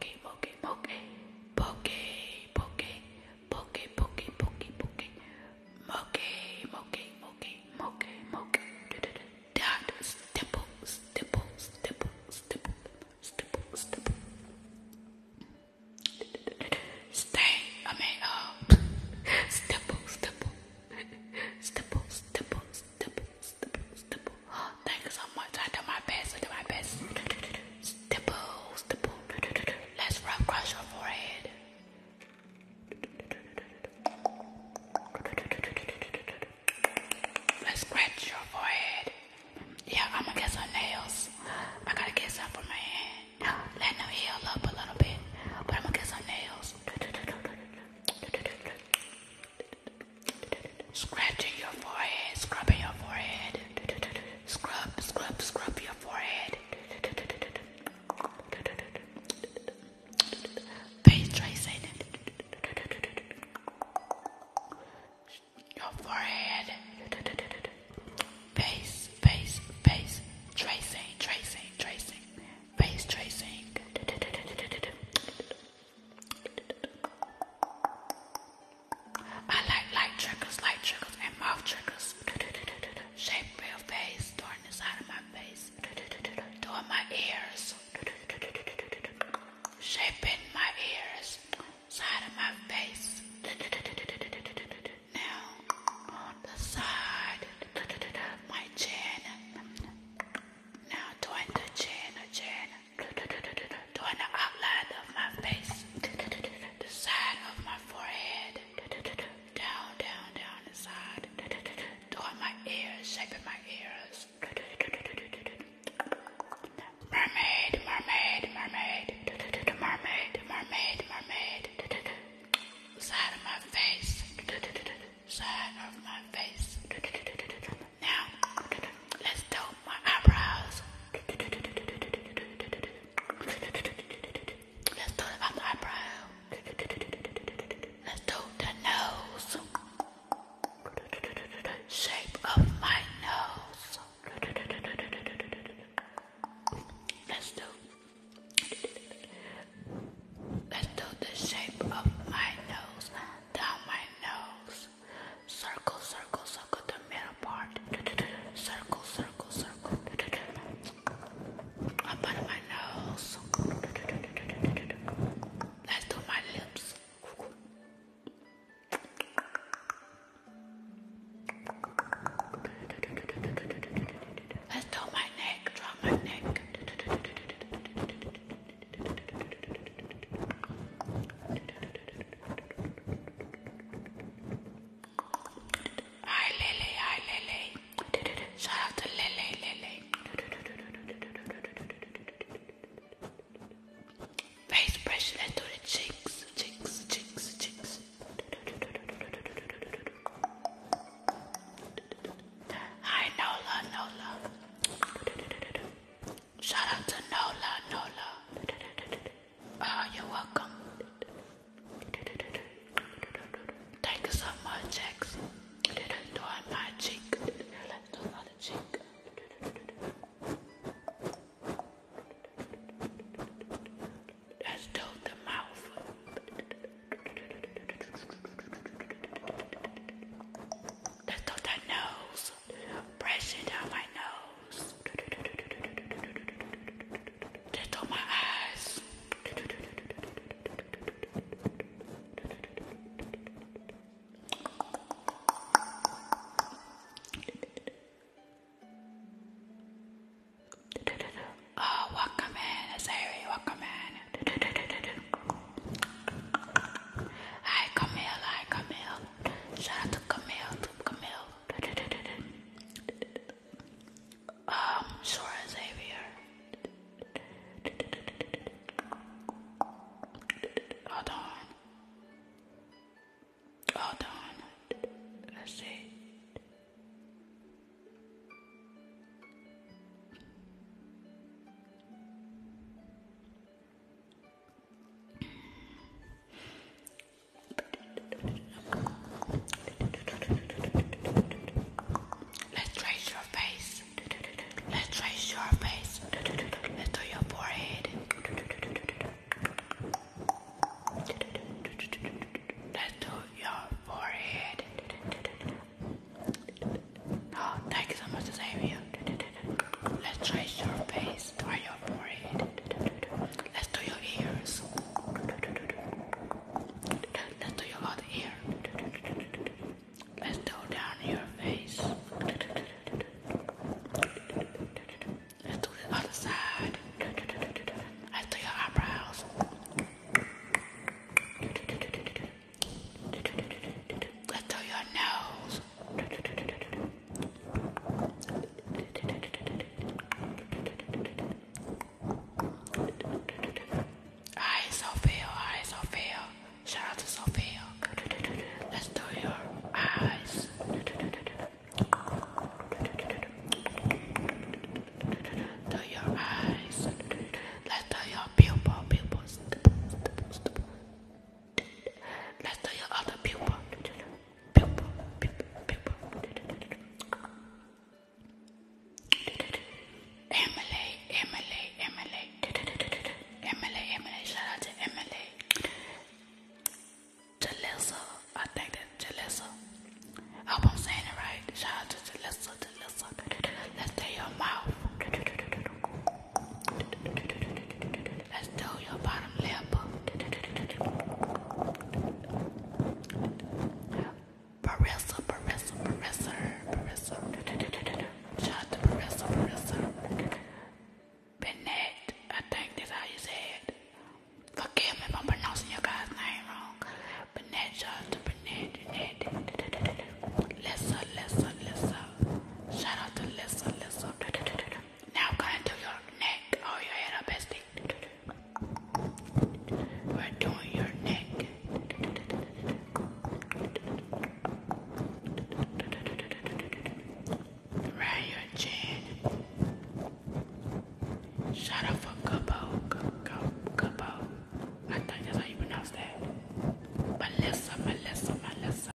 poke, poke, poke, poke, poke, poke, poke, poke, poke, moke, moke, moke, moke, moke, dot, stipple, stipple, stipple, stipple, stipple, stipple, stay, I mean, uh, stipple, stipple, stipple, stipple, stipple, stipple, stipple, Thank you so much. I do my best. I do my best. Stipple, stipple. Let's rub across your forehead. Let's scratch your forehead. Yeah, I'm gonna get some nails. I gotta get some for my hand. Let them heal up a little bit. But I'm gonna get some nails. Scratching your forehead, scrubbing your forehead. Scrub, scrub, scrub your forehead. Face tracing. Your forehead. Face, face, face. Tracing, tracing, tracing. Face tracing. I like light triggers, light triggers, and mouth triggers. Shape real face, throwing the side of my face, doing my ears, shaping my ears, side of my face. Now on the side, my chin. Now doing the chin, chin doing the outline of my face, the side of my forehead, down, down, down the side, doing my ears, shaping my ears. Mermaid, mermaid, mermaid, mermaid, mermaid, mermaid, side of my face, side of my face now let's do my eyebrows. Let's do the eyebrow. Let's do the nose. Shape of my nose. Let's do. Let's do the shape of my nose, down my nose. Circle, circle, circle the middle part. Circle, circle, circle. Up under my nose. Let's do my lips. Let's do my neck, draw my neck. Let's do Hi Lily, hi Lily. Shout out to Lily, Lily. Face brush, let the cheeks, cheeks, cheeks, cheeks. Hi Nola, Nola. Shout out to Nola, Nola. Oh, you're welcome. Thank you so much, Jax. Do on my cheek. Let's do another cheek. Let's do the mouth. Let's do the nose nose. Press it down my nose. Just on my eyes. Oh, welcome in, Azari, welcome in. Hi, Camille, hi, Camille. Shout out to Camille, to Camille. Um, Sora Xavier. Hold on. Hold on. Let's see let trace your face. let trace your face. let do your forehead. let do your forehead. Oh, thank you so much, Xavier. Let's try your face or your forehead. Let's do your ears. Let's do your other ear. Let's do down your face. Let's do the other side. Let's do your eyebrows. Let's do your nose. Hi, Sophia. Hi, Sophia. Shout out to Sophia. Let's do your eyes. Do your eyes. Let's do your pupil, pupils. Let's do your other pupil. Pupil, pupil, pupil. Emily, Emily, Emily. Emily, Emily. Shout out to Emily. Jalissa, I think that's Jalissa. I hope I'm saying it right. Shout out to Jalissa, Jalissa. Let's do your mouth. Let's do your bottom lip. Barissa, Barissa, Barissa, Barissa. Shout to Barissa, Barissa. Bennett, I think that's how you say Forgive me if pronouncing your guy's name wrong. Bennett, shout to Bennett, Bennett. Lissa, Lissa, Lissa. to Lissa, Lissa. Now go into your neck or oh, your head up, bestie. We're doing your neck. Around your chin. Shut up for Gubbo. Gubbo. I think that's how you pronounce that. Melissa, Melissa, Melissa.